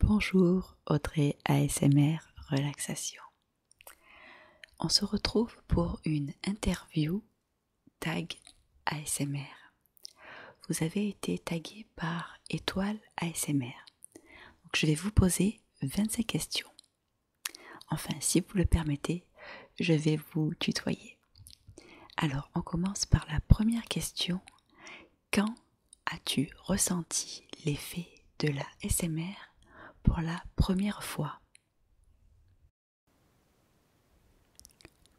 Bonjour Audrey ASMR Relaxation. On se retrouve pour une interview tag ASMR. Vous avez été tagué par étoile ASMR. je vais vous poser 25 questions Enfin, si vous le permettez, je vais vous tutoyer. Alors, on commence par la première question. Quand as-tu ressenti l'effet de la SMR pour la première fois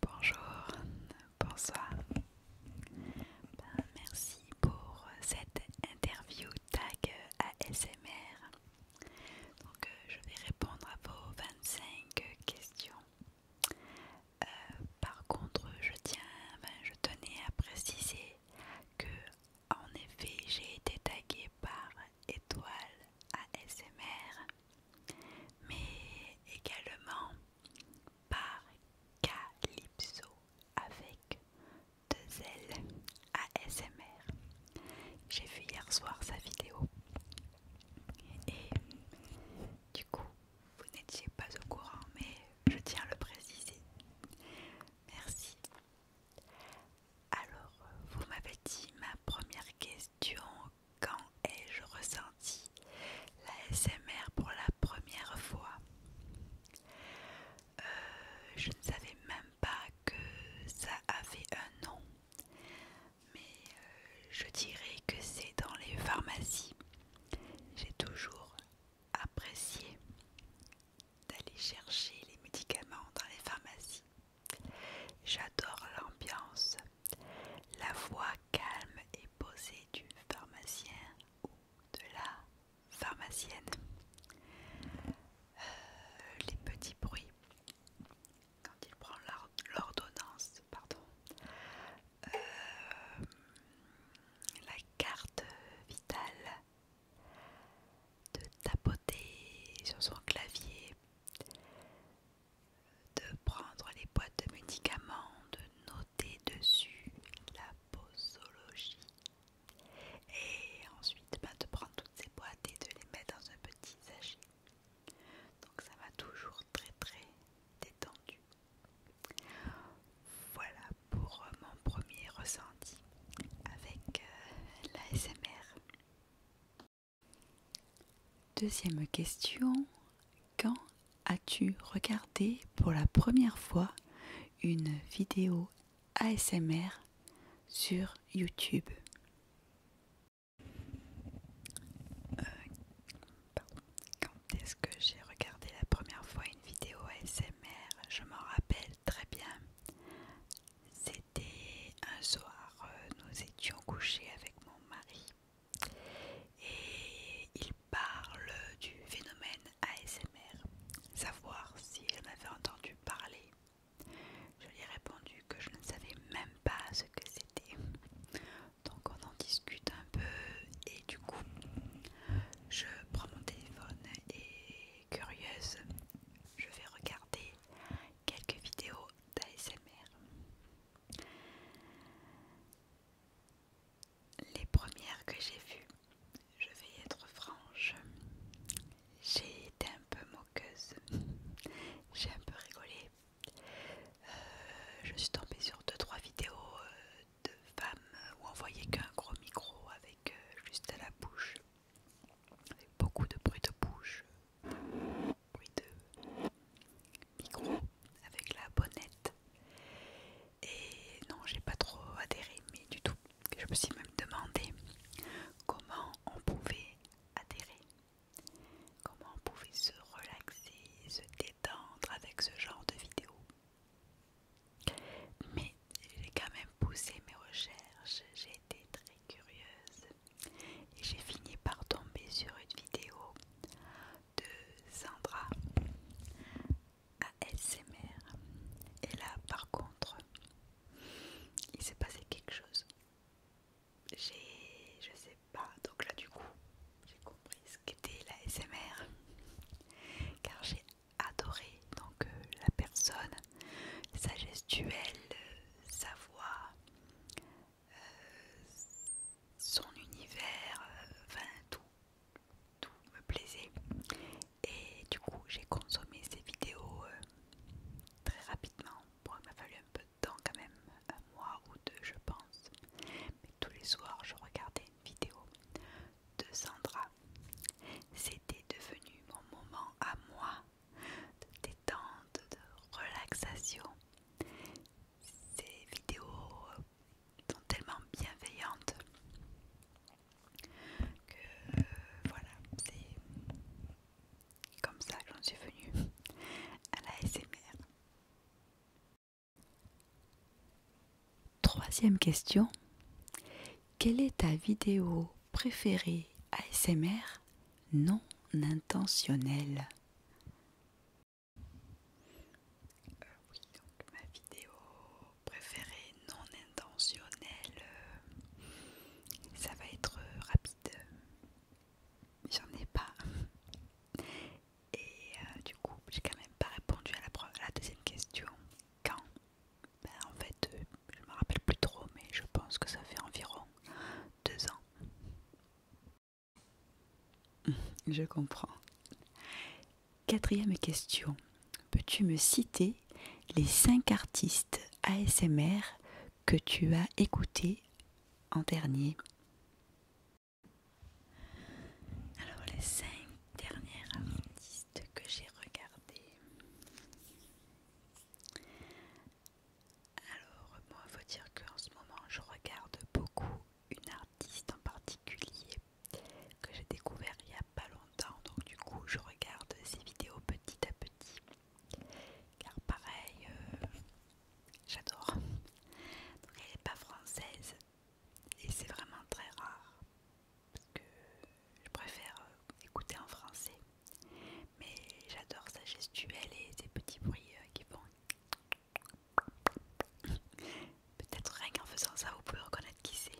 Bonjour, bonsoir. Ben, merci pour cette interview tag ASMR. Donc euh, je vais répondre à vos 25 questions. Euh, par contre, je tiens, ben, je tenais à préciser que en effet, j'ai été taguée par Étoile ASMR, mais également par Calypso avec deux L ASMR. J'ai vu hier soir sa vidéo. Et du coup, vous n'étiez pas au courant, mais je tiens à le préciser. Merci. Alors, vous m'avez dit ma première question, quand ai-je ressenti la SMR pour la première fois euh, Je ne savais même pas que ça avait un nom, mais euh, je dirais que c'est dans les pharmacies. J'ai toujours apprécié d'aller chercher les médicaments dans les pharmacies. J'adore l'ambiance, la voix calme et posée du pharmacien ou de la pharmacienne, euh, les petits bruits quand il prend l'ordonnance, pardon, euh, la carte vitale, de tapoter sur son clavier, de prendre les boîtes de médicaments, de noter dessus la posologie, et ensuite, bah, de prendre toutes ces boîtes et de les mettre dans un petit sachet. Donc ça m'a toujours très très détendu. Voilà pour euh, mon premier ressenti avec euh, l'ASMR. Deuxième question, quand as-tu regardé pour la première fois une vidéo ASMR sur YouTube. Euh, Quand est-ce que j'ai regardé la première fois une vidéo ASMR Je m'en rappelle très bien. C'était un soir, euh, nous étions couchés avec mon mari et il parle du phénomène ASMR, savoir s'il en avait entendu parler. Je lui ai répondu que je ne savais même pas ce que c'était. Donc on en discute un peu et du coup je prends mon téléphone et curieuse, je vais regarder quelques vidéos d'ASMR. Les premières que j'ai vues, je vais être franche, j'ai été un peu moqueuse, j'ai un peu rigolé. Euh, je suis tombée sur 2-3 vidéos euh, de femmes où on voyait qu'un gros micro avec euh, juste à la bouche, avec beaucoup de bruit de bouche, bruit de micro avec la bonnette. Et non, j'ai pas trop adhéré, mais du tout je me suis même demandé comment on pouvait adhérer, comment on pouvait se relaxer, se détendre avec ce genre de vidéo. Mais j'ai quand même poussé mes recherches, j'ai été très curieuse et j'ai fini par tomber sur une vidéo de Sandra ASMR. Et là par contre, il s'est passé quelque chose. J'ai, je sais pas, donc là du coup, j'ai compris ce qu'était la SMR, car j'ai adoré donc euh, la personne, sa gestuelle, sa voix, euh, son univers, euh, enfin tout, tout me plaisait. Et du coup, j'ai consommé ces vidéos euh, très rapidement. Bon, il m'a fallu un peu de temps quand même, un mois ou deux, je pense. Mais tous les soirs, je regardais une vidéo de Sandra. C'était devenu mon moment à moi de détente, de relaxation. Ces vidéos euh, sont tellement bienveillantes que euh, voilà, c'est comme ça j'en suis venue à la SMR. Troisième question. Quelle est ta vidéo préférée ASMR non intentionnelle euh, Oui, donc ma vidéo préférée non intentionnel, euh, ça va être euh, rapide. J'en ai pas. Et euh, du coup, j'ai quand même pas répondu à la, deuxième question. Quand ben, En fait, je me rappelle plus trop, mais je pense que ça fait environ deux ans. Je comprends. Quatrième question. Peux-tu me citer les cinq artistes ASMR que tu as écouté en dernier Alors les cinq dernières artistes que j'ai regardées. Alors moi faut dire qu'en ce moment je regarde beaucoup une artiste en particulier que j'ai découvert il n'y a pas longtemps donc du coup je regarde ses vidéos petit à petit car pareil, euh, j'adore. Donc elle n'est pas française et c'est vraiment très rare parce que je préfère euh, écouter en français. Mais j'adore sa gestuelle et ses petits bruits euh, qui font. Peut-être rien qu'en faisant ça, vous pouvez reconnaître qui c'est.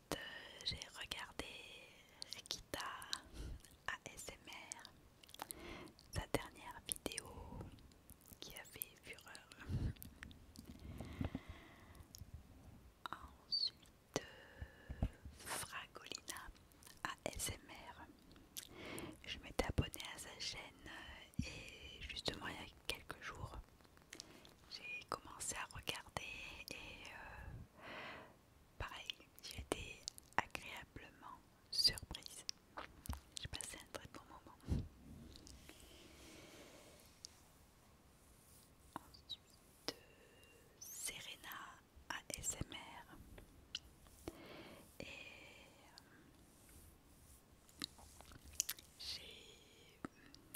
j'ai regardé Rikita ASMR, sa dernière vidéo qui a fait fureur. Ensuite Fragolina ASMR. Je m'étais abonnée à sa chaîne et justement il y a quelques jours j'ai commencé à regarder et euh, pareil, j'ai été agréablement surprise. J'ai passé un très bon moment. Ensuite, Serena à SMR Et euh, j'ai.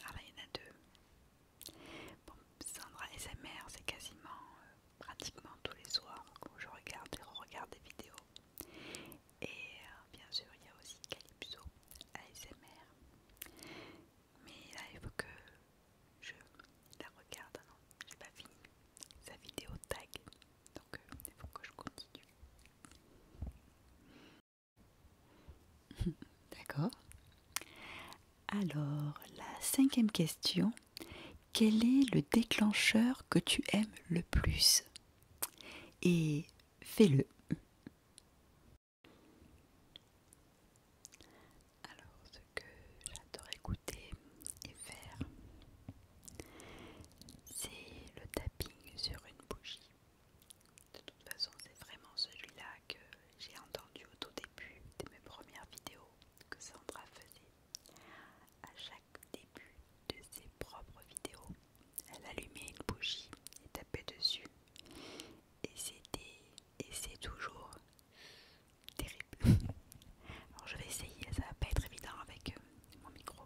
Ah, en deux. Bon, Sandra ASMR c'est quasiment euh, pratiquement tous les soirs où je regarde et re-regarde des vidéos. Et euh, bien sûr, il y a aussi Calypso ASMR. Mais là, il faut que je la regarde. Non, hein. j'ai pas fini sa vidéo tag. Donc, euh, il faut que je continue. D'accord. Alors, la cinquième question. Quel est le déclencheur que tu aimes le plus Et fais-le. Alors, ce que j'adore écouter et faire, c'est le tapping sur une bougie. De toute façon, c'est vraiment celui-là que j'ai entendu au tout début de mes premières vidéos que Sandra faisait. À chaque début de ses propres vidéos, elle allumait une bougie et tapait dessus. Et c'était, et c'est toujours terrible. Alors je vais essayer, ça va pas être évident avec euh, mon micro.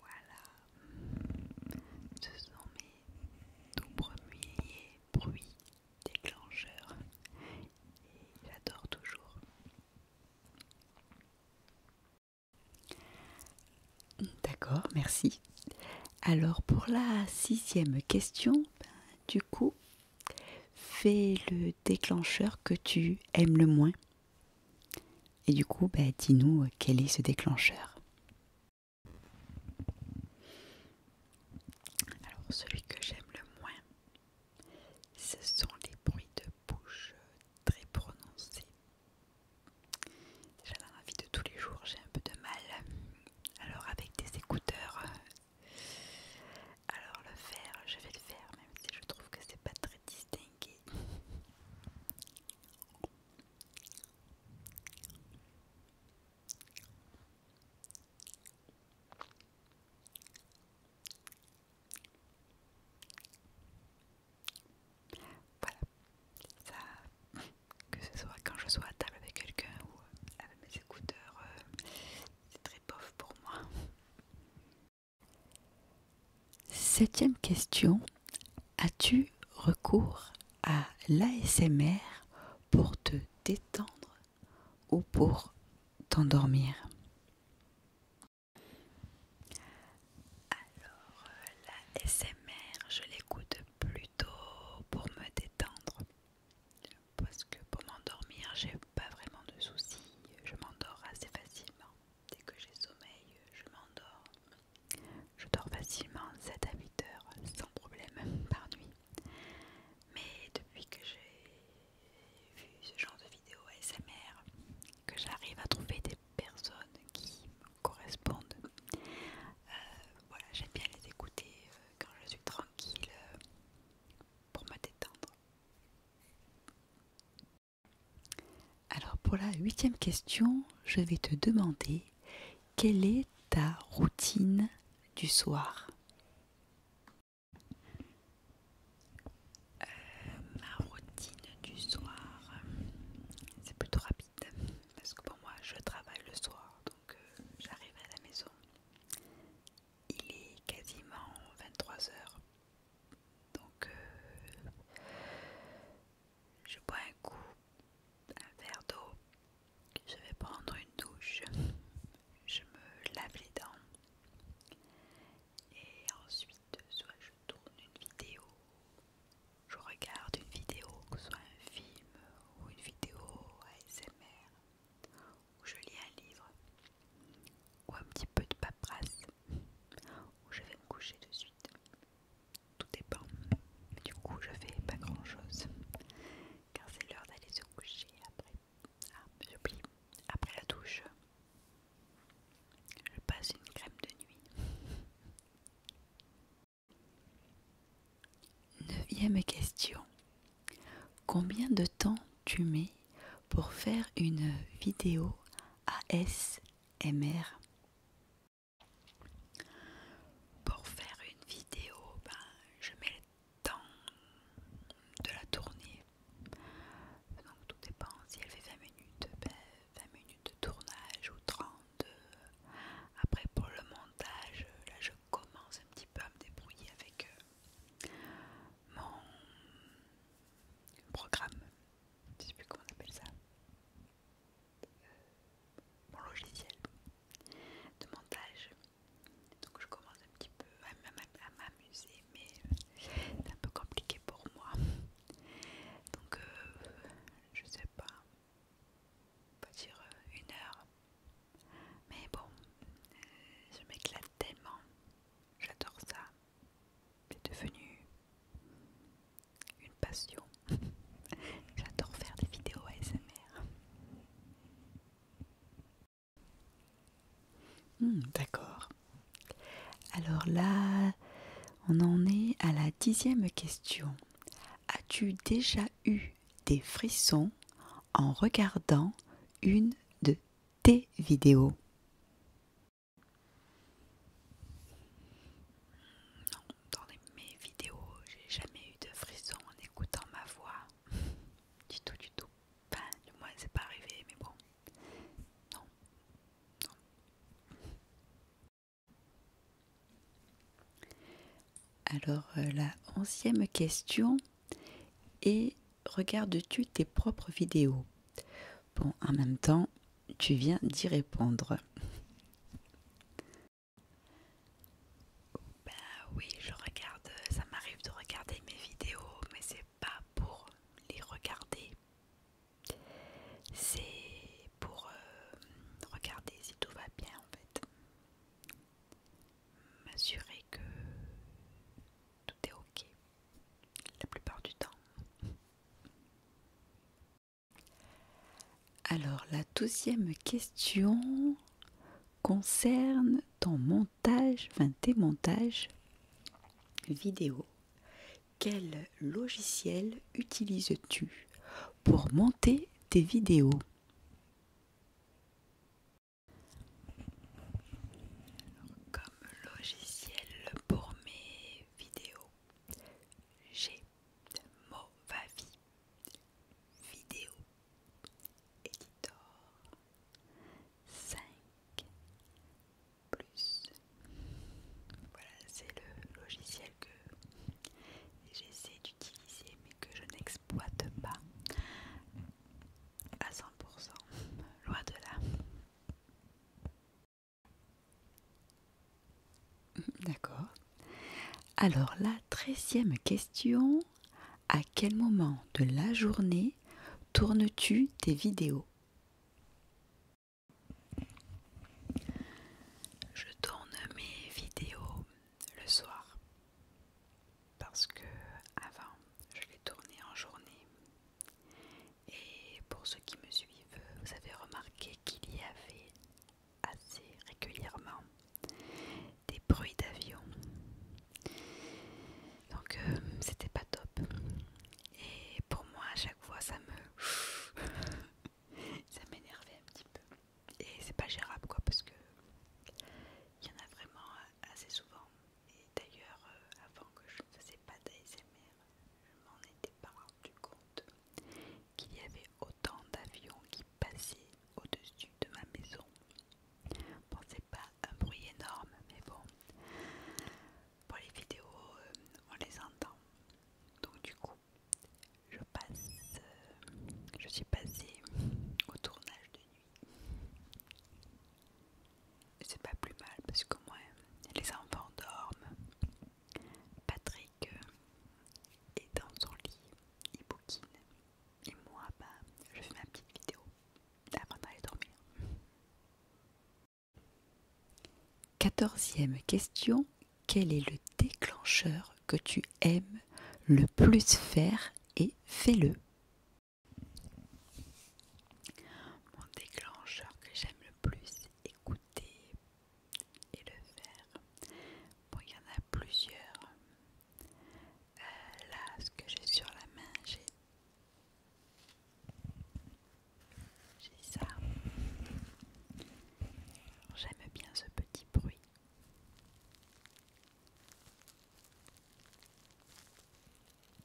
Voilà, ce sont mes tout premiers bruits déclencheurs et j'adore toujours. D'accord, merci. Alors pour la sixième question, ben, du coup, fais le déclencheur que tu aimes le moins. Et du coup, bah, dis-nous euh, quel est ce déclencheur. Alors, celui que j'aime le moins, ce sont les bruits de bouche très prononcés. Déjà dans la vie de tous les jours, j'ai un peu de mal. Alors, avec des écouteurs, euh, alors le faire, je vais le faire, même si je trouve que c'est pas très distinct. Voilà, ça, que ce soit quand je sois à table avec quelqu'un ou euh, avec mes écouteurs, euh, c'est très pauvre pour moi. Septième question. As-tu recours à l'ASMR pour te détendre ou pour t'endormir Alors, l'ASMR, je l'écoute plutôt pour me détendre. Parce que pour m'endormir, j'ai pas vraiment de soucis. Je m'endors assez facilement. Dès que j'ai sommeil, je m'endors. Je dors facilement 7 à 8 heures sans problème par nuit. Mais depuis que j'ai vu ce genre de vidéos ASMR, que j'arrive à trouver des personnes qui me correspondent, euh, voilà, j'aime bien les écouter euh, quand je suis tranquille euh, pour me détendre. Alors pour la huitième question, je vais te demander quelle est ta routine du soir euh, Ma routine du soir, c'est plutôt rapide parce que pour moi je travaille le soir, donc euh, j'arrive à la maison. Il est quasiment 23 heures. Donc, euh, je bois un coup, un verre d'eau, je vais prendre une douche, je me lave les dents et ensuite, soit je tourne une vidéo, je regarde une vidéo, que ce soit un film ou une vidéo ASMR, ou je lis un livre, ou un petit peu de paperasse ou je vais me coucher de suite. Tout dépend. du coup, je fais pas grand chose car c'est l'heure d'aller se coucher après. Ah, j'oublie. Après la douche, je passe une crème de nuit. Neuvième question. Combien de temps tu mets pour faire une vidéo as MR. Pour faire une vidéo, ben, je mets le temps de la tournée. Donc tout dépend si elle fait 20 minutes, 20 ben, minutes de tournage ou 30. Après pour le montage, là je commence un petit peu à me débrouiller avec euh, mon programme je sais plus comment on appelle ça, euh, mon logiciel de montage. Donc je commence un petit peu à m'amuser, mais euh, c'est un peu compliqué pour moi. Donc euh, je sais pas, on dire une heure. Mais bon, je m'éclate tellement, j'adore ça c'est devenu une passion. J'adore faire des vidéos ASMR. Hmm, d'accord. Alors là, on en est à la dixième question. As-tu déjà eu des frissons en regardant une de tes vidéos non, dans mes vidéos, j'ai jamais eu de frisson en écoutant ma voix. du tout, du tout. Enfin, du moins, c'est pas arrivé, mais bon. Non. Non. Alors, euh, la onzième question est regardes-tu tes propres vidéos Bon, en même temps, tu viens d'y répondre. Ben oui, je regarde, ça m'arrive de regarder mes vidéos, mais c'est pas pour les regarder. C'est pour euh, regarder si tout va bien en fait. M'assurer que tout est ok la plupart du temps. Alors la deuxième question concerne ton montage, enfin tes montages vidéo. Quel logiciel utilises-tu pour monter tes vidéos Comme logiciel pour mes vidéo j'ai mon J'ai Vie Vidéo Editor 5 plus. Voilà, c'est le logiciel que j'essaie d'utiliser mais que je n'exploite pas à 100%, loin de là. D'accord. Alors la treizième question, à quel moment de la journée tournes-tu tes vidéos Je tourne mes vidéos le soir parce que avant je les tournais en journée et pour ceux qui me suivent, vous avez remarqué qu'il y avait assez régulièrement des bruits d'avion. Donc euh, c'était pas top. Et pour moi à chaque fois ça me... ça m'énervait un petit peu. Et c'est pas gérable quoi parce que il y en a vraiment assez souvent. Et d'ailleurs euh, avant que je ne faisais pas d'ASMR, je m'en étais pas rendu compte qu'il y avait autant d'avions qui passaient au-dessus de ma maison. Bon, c'est pas un bruit énorme, mais bon, pour les vidéos, euh, on les entend. Donc du coup, je passe, euh, je suis passée au tournage de nuit c'est pas plus mal parce que moi les enfants dorment. Patrick euh, est dans son lit, il bouquine. Et moi, bah, je fais ma petite vidéo avant d'aller dormir. Quatorzième question. Quel est le déclencheur que tu aimes le plus faire et fais-le mon déclencheur que j'aime le plus écouter et le faire. Bon, il y en a plusieurs. Euh, là, ce que j'ai sur la main, j'ai ça. J'aime bien ce petit bruit.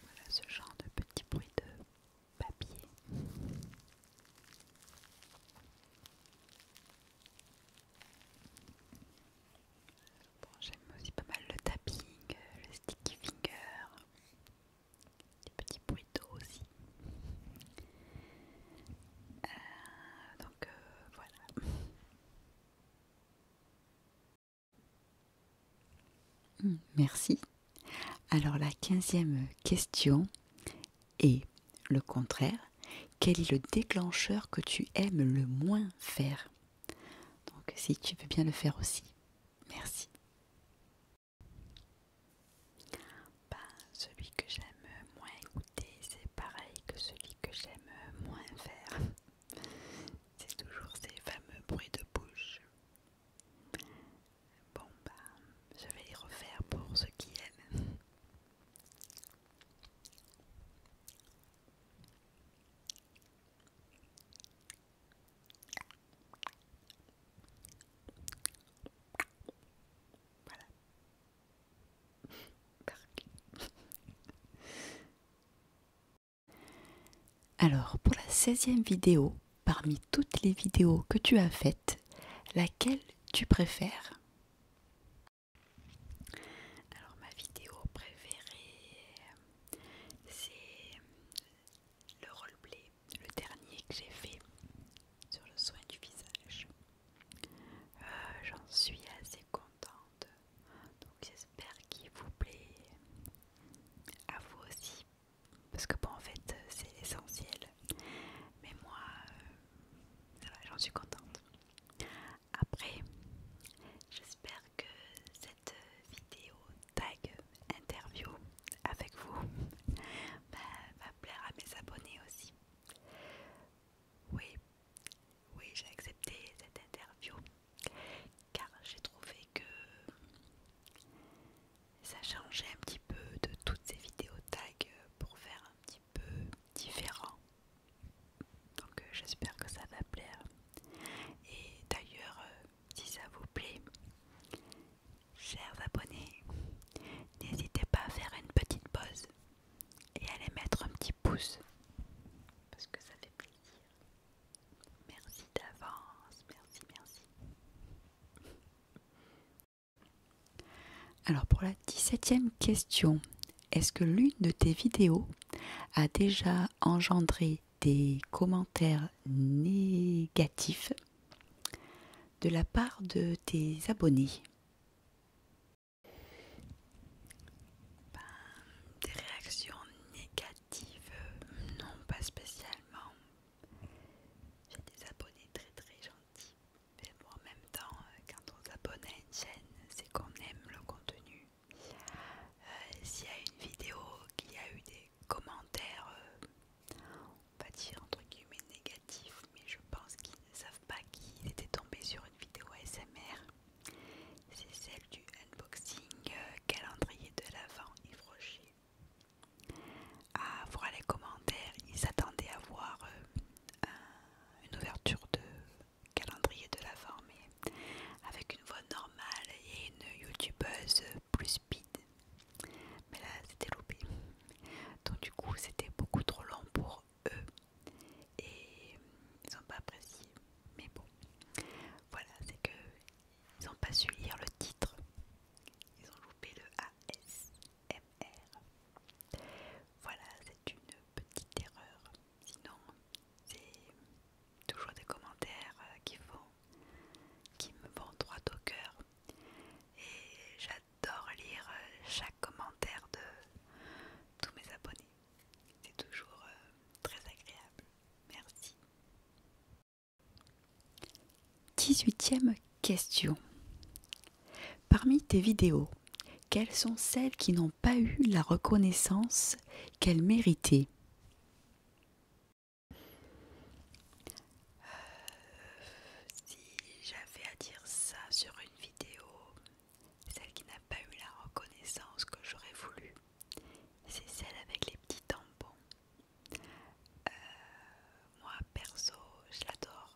Voilà ce genre de petit bruit de papier. J'aime aussi pas mal le tapping, euh, le sticky finger, des petits bruits d'eau aussi. Euh, donc euh, voilà. Hmm, merci. Alors la quinzième question est le contraire. Quel est le déclencheur que tu aimes le moins faire Donc si tu veux bien le faire aussi. Merci. Bah, celui que j'aime moins écouter, c'est pareil que celui que j'aime moins faire. C'est toujours ces fameux bruits de bouche. Bon, bah, je vais les refaire pour ceux qui aiment. Voilà. Alors, pour la 16e vidéo, parmi toutes les vidéos que tu as faites, laquelle tu préfères Alors, ma vidéo préférée, c'est le roleplay, le dernier que j'ai fait sur le soin du visage. Euh, j'en suis assez contente. Donc j'espère qu'il vous plaît à vous aussi. Parce que bon en fait c'est essentiel. Mais moi euh, va j'en suis contente. Après, j'espère que cette vidéo tag interview avec vous va plaire à mes abonnés aussi. Oui, oui, j'ai accepté cette interview car j'ai trouvé que ça changeait un petit peu de toutes ces vidéos tags pour faire un petit peu différent. Donc euh, j'espère que ça va plaire. Et d'ailleurs, euh, si ça vous plaît, chers abonnés, n'hésitez pas à faire une petite pause et à les mettre un petit pouce parce que ça fait plaisir. Merci d'avance, merci, merci. Alors pour la 17 septième question, est-ce que l'une de tes vidéos a déjà engendré des commentaires négatifs de la part de tes abonnés des réactions négatives, non pas spécialement. J'ai des abonnés très très gentils. Mais moi en même temps, euh, quand on s'abonne à une chaîne, c'est qu'on aime le contenu. Euh, s'il y a une vidéo qu'il y a eu des commentaires, euh, on va dire entre guillemets négatifs, mais je pense qu'ils ne savent pas qu'ils étaient tombés sur une vidéo ASMR. C'est celle du unboxing euh, calendrier de l'Avent et Frochet. À ah, voir les commentaires, ils s'attendaient à voir euh, une ouverture de calendrier de l'Avent mais avec une voix normale et une youtubeuse plus speed. Mais là, c'était loupé. Donc du coup, c'était beaucoup trop long pour eux et ils n'ont pas apprécié. Mais bon, voilà, c'est que ils n'ont pas su lire le titre. Ils ont loupé le ASMR. Voilà, c'est une petite erreur. Sinon, c'est toujours des commentaires euh, qui font, qui me vont droit au cœur. Et j'adore lire euh, chaque commentaire de tous mes abonnés. C'est toujours euh, très agréable. Merci. 18e question. Parmi tes vidéos, quelles sont celles qui n'ont pas eu la reconnaissance qu'elles méritaient euh, Si j'avais à dire ça sur une vidéo, celle qui n'a pas eu la reconnaissance que j'aurais voulu, c'est celle avec les petits tampons. Euh, moi perso, je l'adore.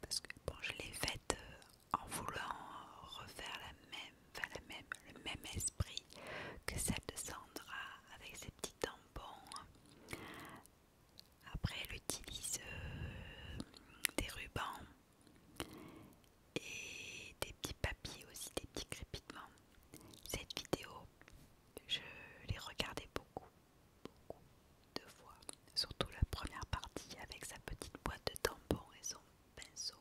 Parce que bon, je l'ai faite euh, en voulant refaire la même, même, le même esprit que celle de Sandra avec ses petits tampons. Après, elle utilise euh, des rubans et des petits papiers aussi, des petits crépitements. Cette vidéo, je l'ai regardée beaucoup, beaucoup de fois, surtout la première partie avec sa petite boîte de tampons et son pinceau.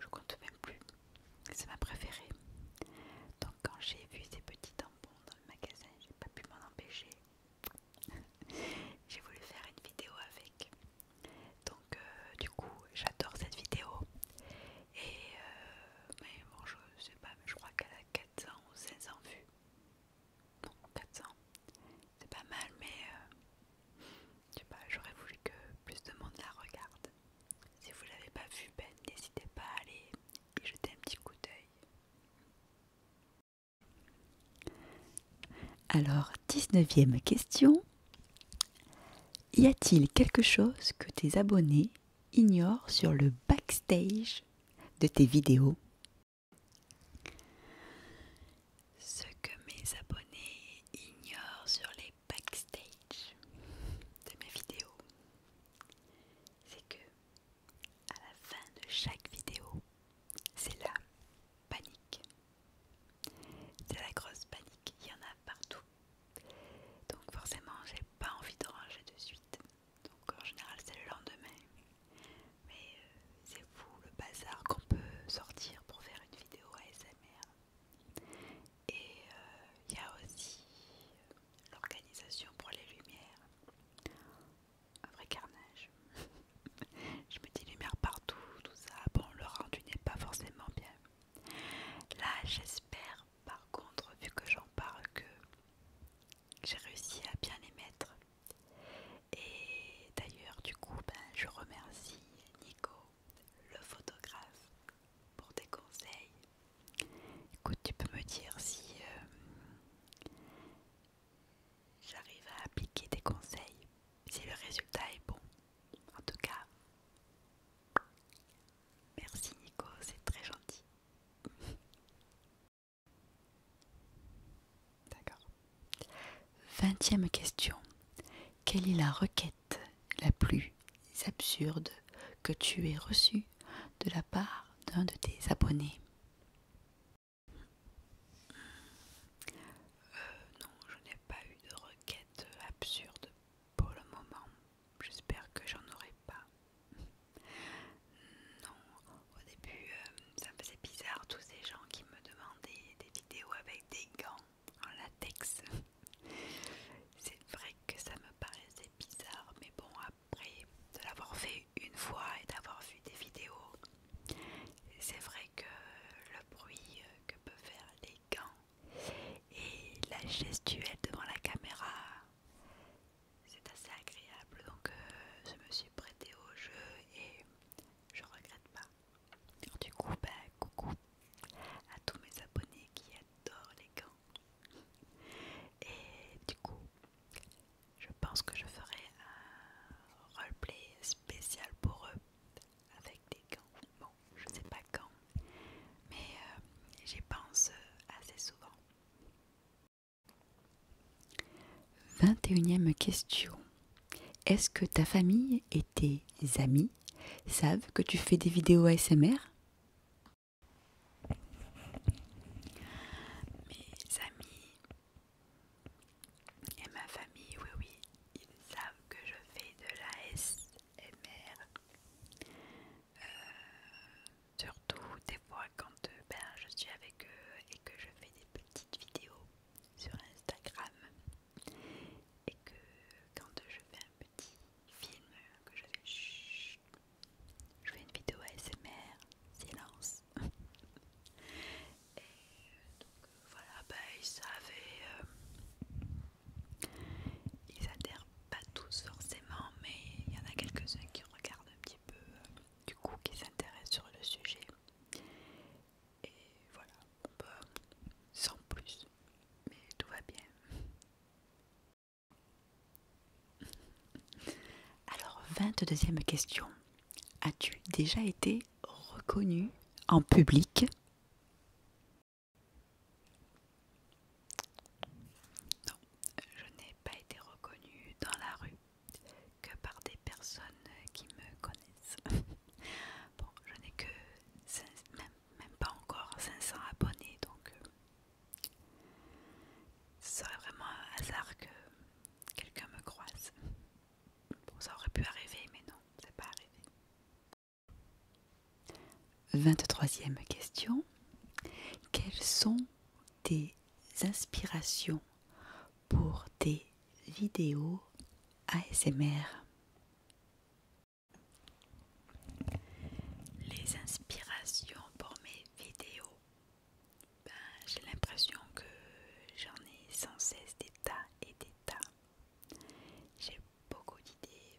je compte même plus, c'est ma préférée. Donc quand j'ai vu ces petits tampons dans le magasin, j'ai pas pu m'en empêcher. j'ai voulu faire une vidéo avec. Donc euh, du coup j'adore cette vidéo. Et euh, bon je sais pas, mais je crois qu'elle a 400 ou 500 vues. Non 400. C'est pas mal mais euh, je sais pas, j'aurais voulu que plus de monde la regarde. Si vous l'avez pas vue, ben n'hésitez pas à aller y jeter un petit coup d'œil. Alors, 19 ème question. Y a-t-il quelque chose que tes abonnés ignorent sur le backstage de tes vidéos Ce que mes abonnés ignorent sur les backstage de mes vidéos, c'est que à la fin de chaque vidéo, c'est là panique. C'est la grosse panique, il y en a partout. Donc forcément, j'ai pas envie de ranger de suite. Donc en général, c'est le lendemain. Mais euh, c'est fou le bazar qu'on peut sortir pour faire une vidéo ASMR. Et euh, il y a aussi l'organisation pour les lumières un vrai carnage. je me dis lumière partout, tout ça. Bon, le rendu n'est pas forcément bien. Là, j'espère, par contre, vu que j'en parle, que j'ai réussi à bien les mettre. Et d'ailleurs, du coup, ben, je remercie Nico, le photographe, pour tes conseils. Écoute, tu peux me dire si... Euh, J'arrive à appliquer tes conseils si le résultat est bon. En tout cas, merci Nico, c'est très gentil. D'accord. Vingtième question. Quelle est la requête la plus absurde que tu aies reçue de la part d'un de tes abonnés euh, non, je n'ai pas eu de requête absurde pour le moment. J'espère que j'en aurai pas. Non, au début, euh, ça faisait bizarre tous ces gens qui me demandaient des vidéos avec des gants en latex. C'est vrai que ça me paraissait bizarre, mais bon, après de l'avoir fait une fois et d'avoir vu des vidéos, c'est vrai que le bruit euh, que peuvent faire les gants et la gestuelle devant la caméra, c'est assez agréable. Donc euh, je me suis prêtée au jeu et je regrette pas. du coup, bah, coucou à tous mes abonnés qui adorent les gants. Et du coup, je pense que je ferai un roleplay spécial pour eux avec des gants. Bon, je sais pas quand, mais euh, j'y pense euh, assez souvent. 21 ème question. Est-ce que ta famille et tes amis savent que tu fais des vidéos ASMR Mes amis et ma famille, oui, oui, ils savent que je fais de la SMR. Euh, surtout des fois quand euh, ben, je suis avec eux et que je fais des petites vidéos sur Instagram. Et que quand je fais un petit film, que je fais... Chut, je fais une vidéo ASMR, silence. Et voilà, bah, ils savaient. Euh, ils adhèrent pas tous forcément, mais il y en a quelques-uns qui regardent un petit peu, euh, du coup, qui s'intéressent sur le sujet. Et voilà, bah, sans plus, mais tout va bien. Alors, 22e question. As-tu déjà été reconnu en public Non, je n'ai pas été reconnue dans la rue que par des personnes qui me connaissent. bon, je n'ai que même, pas encore 500 abonnés, donc euh, ce serait vraiment un hasard que quelqu'un me croise. Bon, ça aurait pu arriver, mais non, n'est pas arrivé. 23e question. Quelles sont tes inspirations pour tes vidéos ASMR Les inspirations pour mes vidéos ben, j'ai l'impression que j'en ai sans cesse des tas et des tas. J'ai beaucoup d'idées.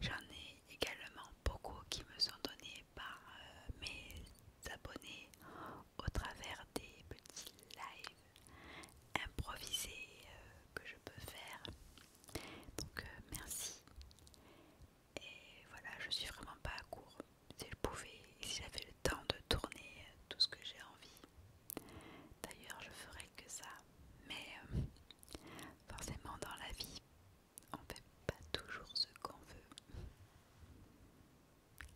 J'en ai également beaucoup qui me sont données par euh, mes abonnés au travers des petits lives improvisés euh, que je peux faire. Donc euh, merci. Et voilà, je suis vraiment pas à court si je pouvais si j'avais le temps de tourner euh, tout ce que j'ai envie. D'ailleurs, je ferais que ça. Mais euh, forcément, dans la vie, on ne fait pas toujours ce qu'on veut.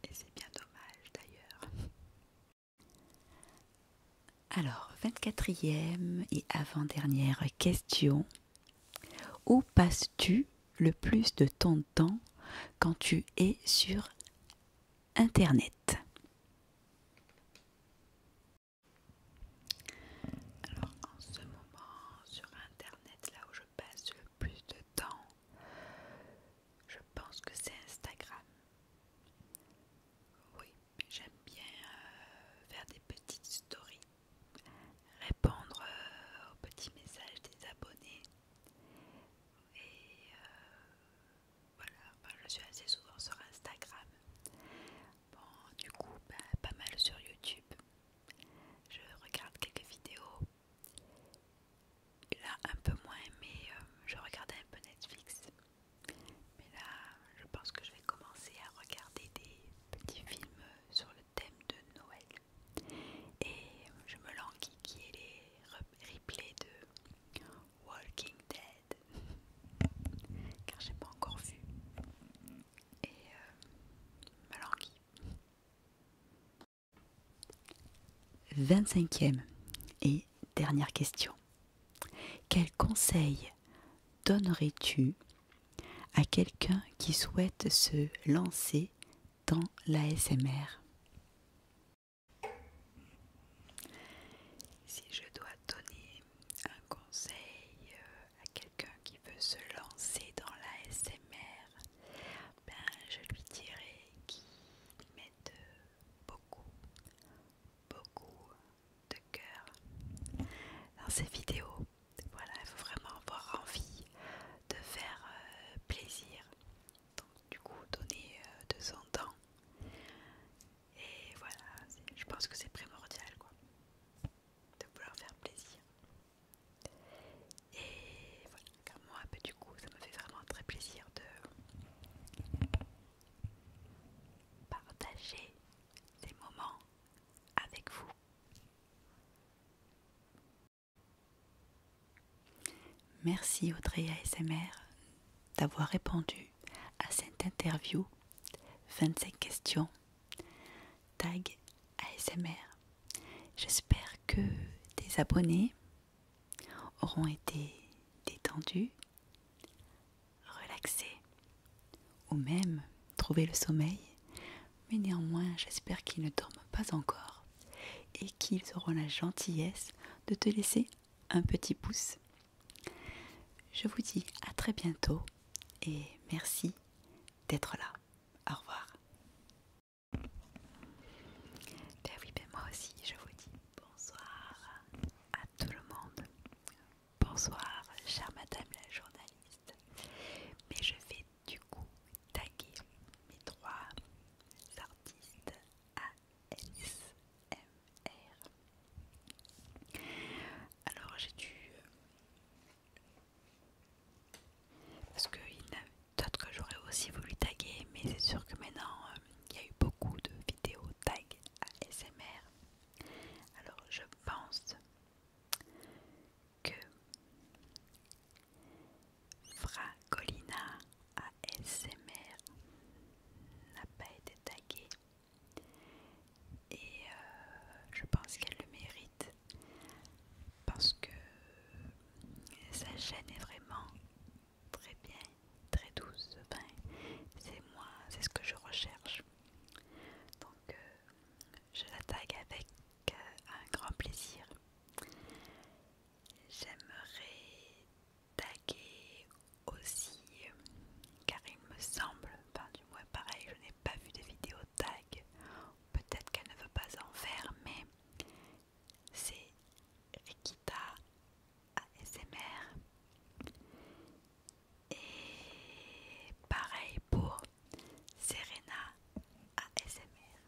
Et c'est bien dommage d'ailleurs. Alors, 24e et avant-dernière question. Où passes-tu le plus de temps temps quand tu es sur Internet. Alors en ce moment sur Internet, là où je passe le plus de temps, je pense que c'est Instagram. Oui, j'aime bien euh, faire des petites stories, répondre euh, aux petits messages des abonnés et euh, voilà, bah, je suis assez souvent sur Instagram. Bon, du coup, bah, pas mal sur YouTube. Je regarde quelques vidéos. là, un peu moins, mais euh, je regardais un peu Netflix. Mais là, je pense que je vais commencer à regarder des petits films sur le thème de Noël. Et euh, je me languis qui est les replays de Walking Dead. Car j'ai pas encore vu. Et euh, me languis. 25e et dernière question. Quel conseil donnerais-tu à quelqu'un qui souhaite se lancer dans l'ASMR. Si je dois donner un conseil euh, à quelqu'un qui veut se lancer dans l'ASMR, ben, je lui dirais qu'il mette euh, beaucoup, beaucoup de cœur dans ses vidéos. Voilà, il faut vraiment avoir envie de faire euh, plaisir donc du coup donner de son temps et voilà je pense que c'est primordial quoi de vouloir faire plaisir et voilà car moi bah, du coup ça me fait vraiment très plaisir de partager les moments avec vous Merci Audrey ASMR d'avoir répondu à cette interview. 25 questions. Tag ASMR. J'espère que tes abonnés auront été détendus, relaxés ou même trouvé le sommeil. Mais néanmoins, j'espère qu'ils ne dorment pas encore qu'ils auront la gentillesse de te laisser un petit pouce. Je vous dis à très bientôt et merci d'être là. Au revoir. Ben oui, ben moi aussi, je vous dis bonsoir à tout le monde. Bonsoir, chère madame la journaliste. Mais je vais du coup taguer mes trois artistes ASMR. Alors j'ai dû... Euh, parce qu'il y en a d'autres que j'aurais aussi voulu taguer, mais c'est sûr que maintenant euh, il y a eu beaucoup de vidéos tag ASMR. Alors je pense que Fracolina ASMR n'a pas été taguée et euh, je pense qu'elle le mérite parce que sa chaîne est vraiment très bien, très douce. c'est moi, c'est ce que je recherche. Donc, euh, je la tague avec euh, un grand plaisir. J'aimerais taguer aussi, car il me semble, enfin du moins pareil, je n'ai pas vu de vidéo tag, peut-être qu'elle ne veut pas en faire, mais c'est Rikita ASMR. Et pareil pour Serena ASMR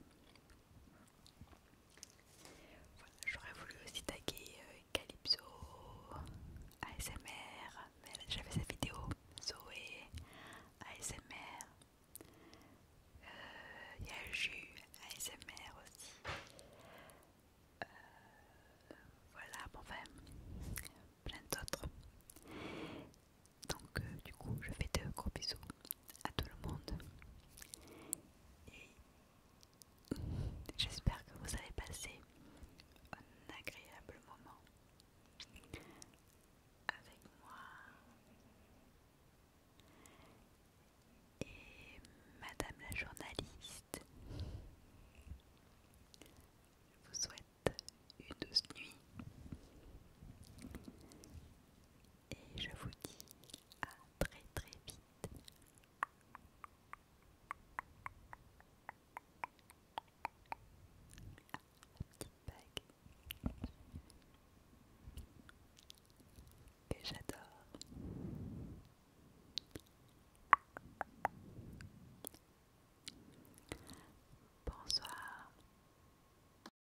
j'aurais voulu aussi taguer euh, Calypso, ASMR, mais elle a déjà sa vidéo, Zoé, ASMR, euh, il y a Ju ASMR aussi. Euh, voilà, bon, enfin, plein d'autres. Donc euh, du coup je fais de gros bisous à tout le monde. Et j'espère que vous avez passé un agréable moment avec moi. Et Madame la journaliste, je vous souhaite une douce nuit et je vous dis à très très vite. Ah, petite bague que j'adore. Bonsoir.